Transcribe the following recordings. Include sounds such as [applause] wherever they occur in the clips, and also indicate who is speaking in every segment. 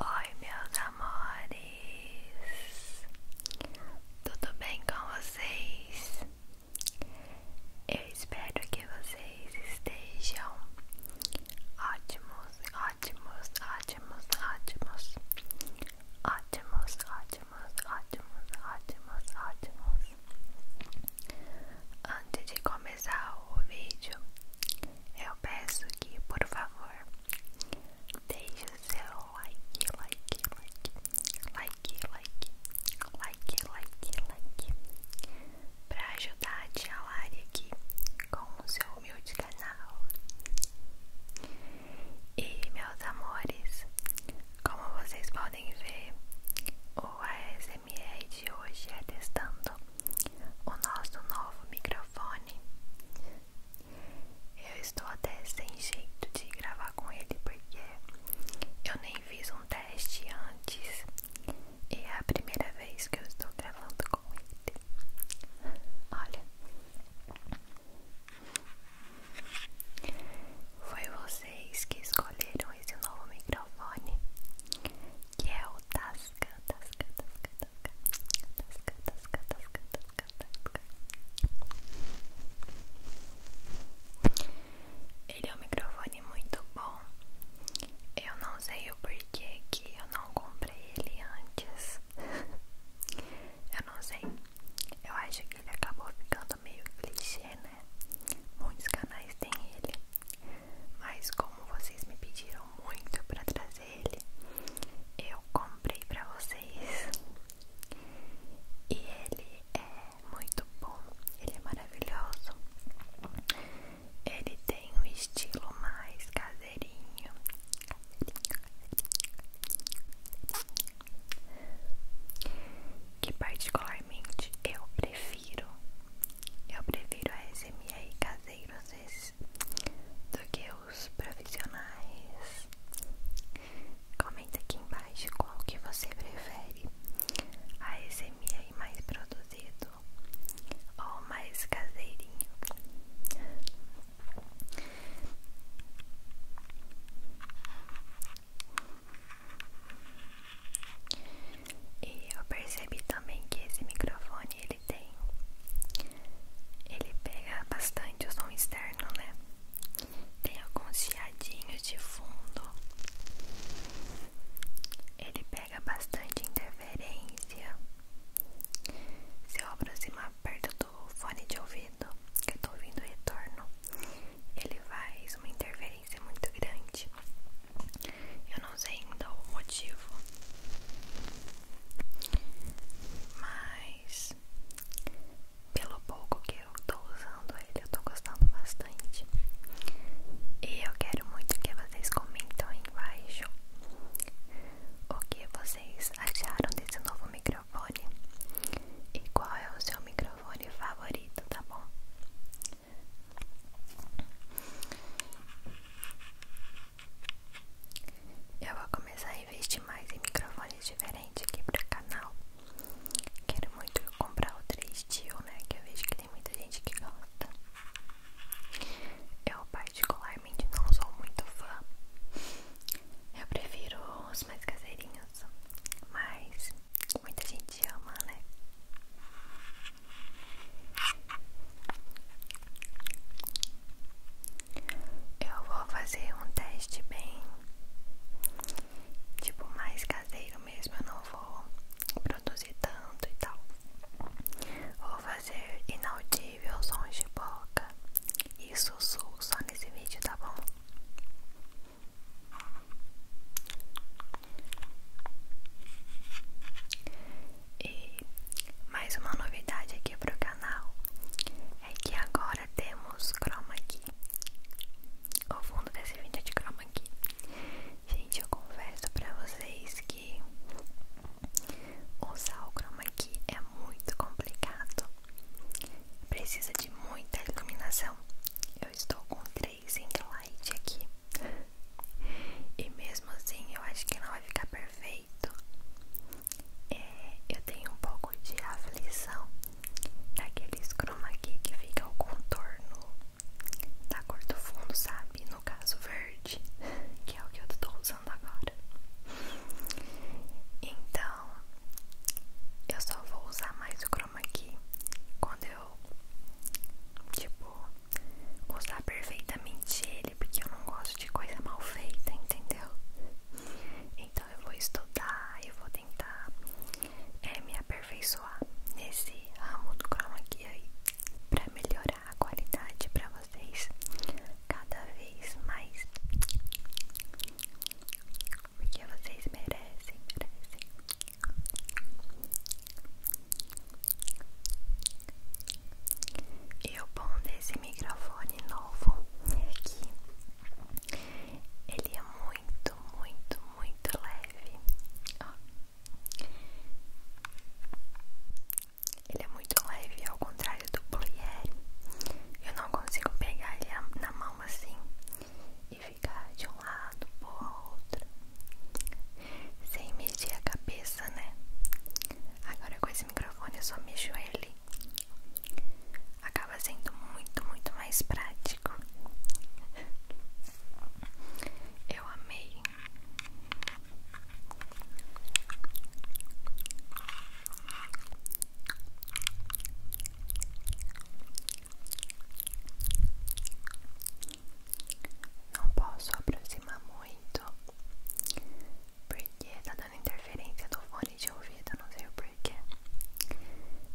Speaker 1: Oi, meus amores, tudo bem com vocês? Eu espero que vocês estejam ótimos, ótimos, ótimos, ótimos, ótimos, ótimos, ótimos, ótimos, ótimos. Antes de começar o vídeo, eu peço que, por favor, Deixe o seu like, like, like, like, like, like, like, like, para ajudar a tia Lari aqui com o seu humilde canal. E meus amores, como vocês podem ver, o ASMR de hoje é testando o nosso novo microfone eu estou até sem jeito de gravar com ele porque eu nem fiz um teste antes e é a primeira vez que eu estou gravando com ele. Olha, foi vocês que escolheram esse novo microfone que é o Tasca, Tasca, Tasca, Tasca, Tasca, Tasca, Tasca, Tasca. Ele é um microfone muito bom. Eu não sei o porquê que eu não comprei ele antes. [laughs] eu não sei. Eu acho que ele acabou ficando meio clichê, né? Muitos canais têm ele. Mas como vocês me pediram muito para trazer ele, eu comprei pra vocês. E ele é muito bom, ele é maravilhoso. Ele tem um estilo mais caseirinho. Que particularmente eu prefiro. Eu prefiro a SMR caseiros vezes do que profissionais. Comenta aqui embaixo qual que você prefere, a SMR mais produzido ou mais caseirinho. E eu percebi também que esse microfone ele ele tem, ele pega bastante o som externo, né? Tem alguns chiadinhos de fundo. Ele pega bastante interferência. Se eu aproximar perto do fone de ouvido, que eu tô ouvindo o retorno, ele faz uma interferência muito grande. Eu não sei ainda o motivo, mas pelo pouco que eu tô usando ele, eu tô gostando bastante. E eu quero muito que vocês comentem aí embaixo o que vocês acharam desse novo microfone e qual é o seu microfone favorito, tá bom? Eu vou começar a investir mais em microfones diferentes aqui para o canal. Quero muito comprar o 3 Tio, né? Que eu vejo que tem muita gente que gosta. Eu particularmente não sou muito fã. Eu prefiro os mais caseirinhos. Mas muita gente ama, né? Eu vou fazer um teste bem tipo mais caseiro mesmo, eu não vou produzir tanto e tal. Vou fazer inaudível sons de boca e sussurro só nesse vídeo, tá bom? E mais uma novidade aqui pro canal é que agora temos chroma key. O fundo desse vídeo é de chroma key. Gente, eu confesso pra vocês que usar o chroma key é muito complicado. Precisa de muita iluminação. Eu estou com três ring light aqui. E mesmo assim, eu acho que não vai ficar perfeito é, eu tenho um pouco de aflição daqueles chroma aqui que fica o contorno da cor do fundo, sabe? No caso verde, [laughs] que é o que eu tô usando agora. Então, eu só vou usar mais o chroma aqui quando eu, tipo, usar perfeitamente ele, porque eu não gosto de coisa mal feita, entendeu? Então eu vou estudar, eu vou tentar é, me aperfeiçoar nesse ramo do chroma key aí para melhorar a qualidade para vocês cada vez mais. Porque vocês merecem, merecem. E o bom desse esse microfone novo aqui. Ele é muito, muito, muito leve. Ele é muito leve, ao contrário do Plier. Eu não consigo pegar ele na mão assim e ficar de um lado pro outro. Sem medir a cabeça, né? Agora com esse microfone só me joelho acaba sendo muito, muito mais prático. Eu amei. Não posso aproximar muito porque tá interferência do fone de ouvido, não sei o porquê.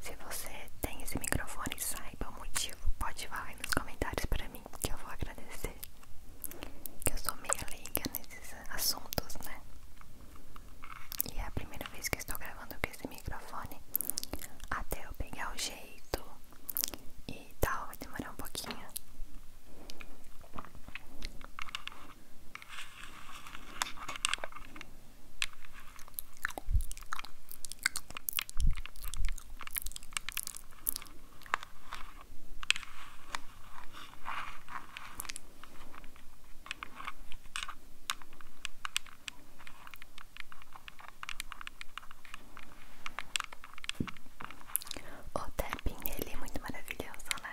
Speaker 1: Se você tem esse microfone, saiba o motivo, pode falar nos comentários pra mim, que eu vou agradecer. Que eu sou meio leiga nesses assuntos, né? E é a primeira vez que estou gravando com esse microfone. Até eu pegar o jeito e tal, vai demorar um pouquinho. O tapinha ele é muito maravilhoso, né?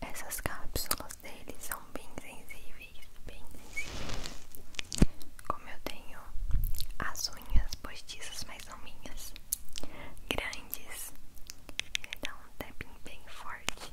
Speaker 1: Essas cápsulas dele são bem sensíveis, bem sensíveis. Como eu tenho as unhas postiças, mais não grandes, ele dá um tapping bem forte.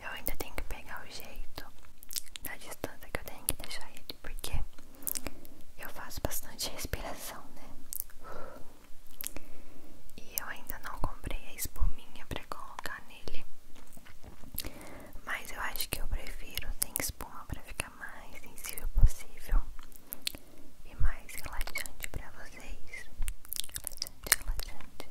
Speaker 1: Eu ainda tenho que pegar o jeito da distância que eu tenho que deixar ele, porque eu faço bastante respiração, né? E eu ainda não comprei a espuminha precoce colocar nele. Mas eu acho que eu prefiro sem espuma para ficar mais sensível possível e mais relaxante para vocês. relaxante, relaxante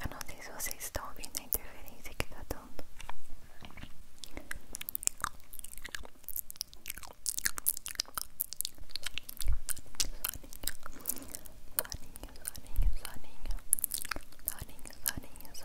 Speaker 1: Eu não sei se vocês estão ouvindo a interferência que tá dando. Soninho, soninho, soninho, soninho, soninho, soninho,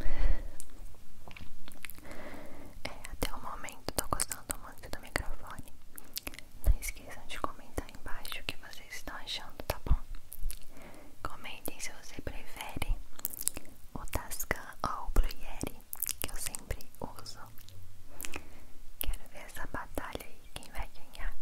Speaker 1: É, até o momento tô gostando muito do microfone. Não esqueçam de comentar embaixo o que vocês estão achando, tá bom? Comentem se você prefere o Tascam ou o Blue Yeti, que eu sempre uso sol. Quero ver essa batalha aí, quem vai ganhar? Oi,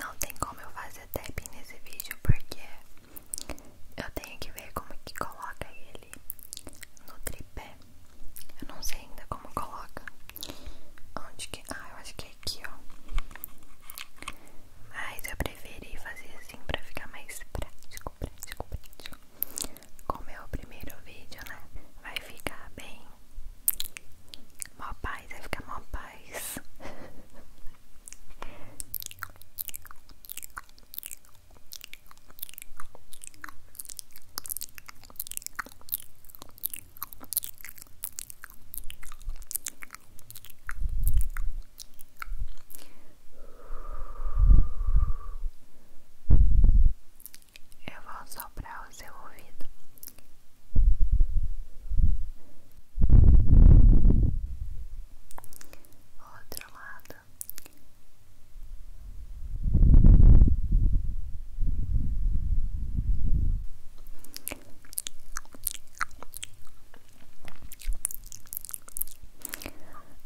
Speaker 1: não tem como eu fazer tap nesse vídeo porque eu tenho que ver como que coloca ele no tripé. Eu não sei ainda como coloca. Onde que. Ah, eu acho que é aqui, ó. Mas eu preferi fazer assim pra ficar mais prático, prático, prático. Como é o primeiro vídeo, né? Vai ficar bem. Mó paz, vai ficar mó paz. Eu vou soprar o seu ouvido. Outro lado.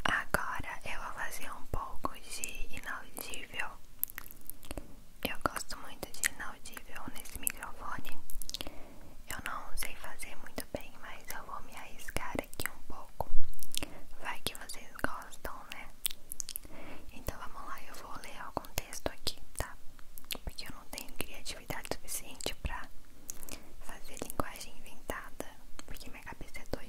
Speaker 1: Agora eu vou fazer um pouco de inaudível. Eu gosto muito de inaudível nesse microfone. Eu não sei fazer muito bem, mas eu vou me arriscar aqui um pouco. Vai que vocês gostam, né? Então vamos lá, eu vou ler algum texto aqui, tá? Porque eu não tenho criatividade criatividade suficiente pra fazer linguagem inventada, porque minha cabeça é doida.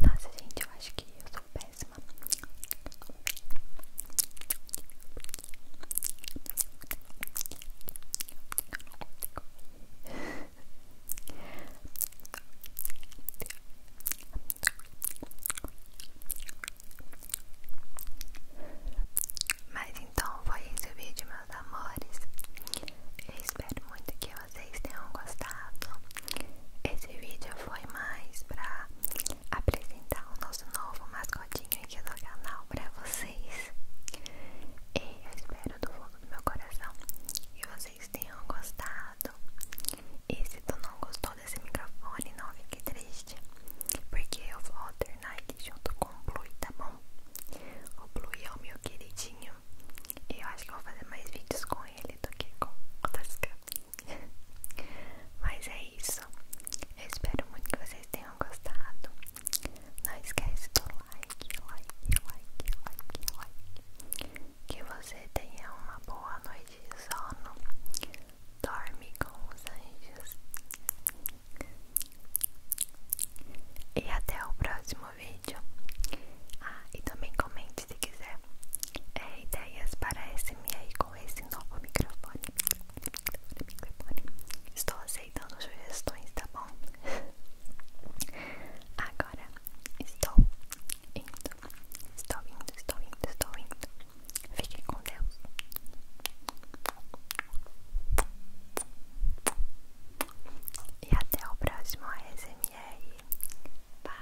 Speaker 1: Nossa, gente, eu acho que eu sou péssima. Mas então foi esse o vídeo, meus amores. espero muito que vocês tenham gostado. Esse vídeo foi mais pra apresentar o nosso novo mascotinho aqui no canal pra vocês. E eu espero do fundo do meu coração que vocês tenham gostado. E se tu não gostou desse microfone, não fique triste, porque eu vou alternar aqui junto com o Blue, tá bom? O Blue é o meu queridinho. E eu acho que vou fazer mais vídeos com ele do que com outras [laughs] câmeras. Mas é isso espero muito que vocês tenham gostado. Não esquece do like, like, like, like, like. Que você tenha uma boa noite de sono. Dorme com os anjos. E até o próximo vídeo. Ah, e também comente se quiser é, ideias para SMR com esse novo microfone. Estou aceitando sugestões, tá bom? Agora estou indo, estou indo, estou indo, estou indo. Fiquem com Deus. E até o próximo ASMR. Bye!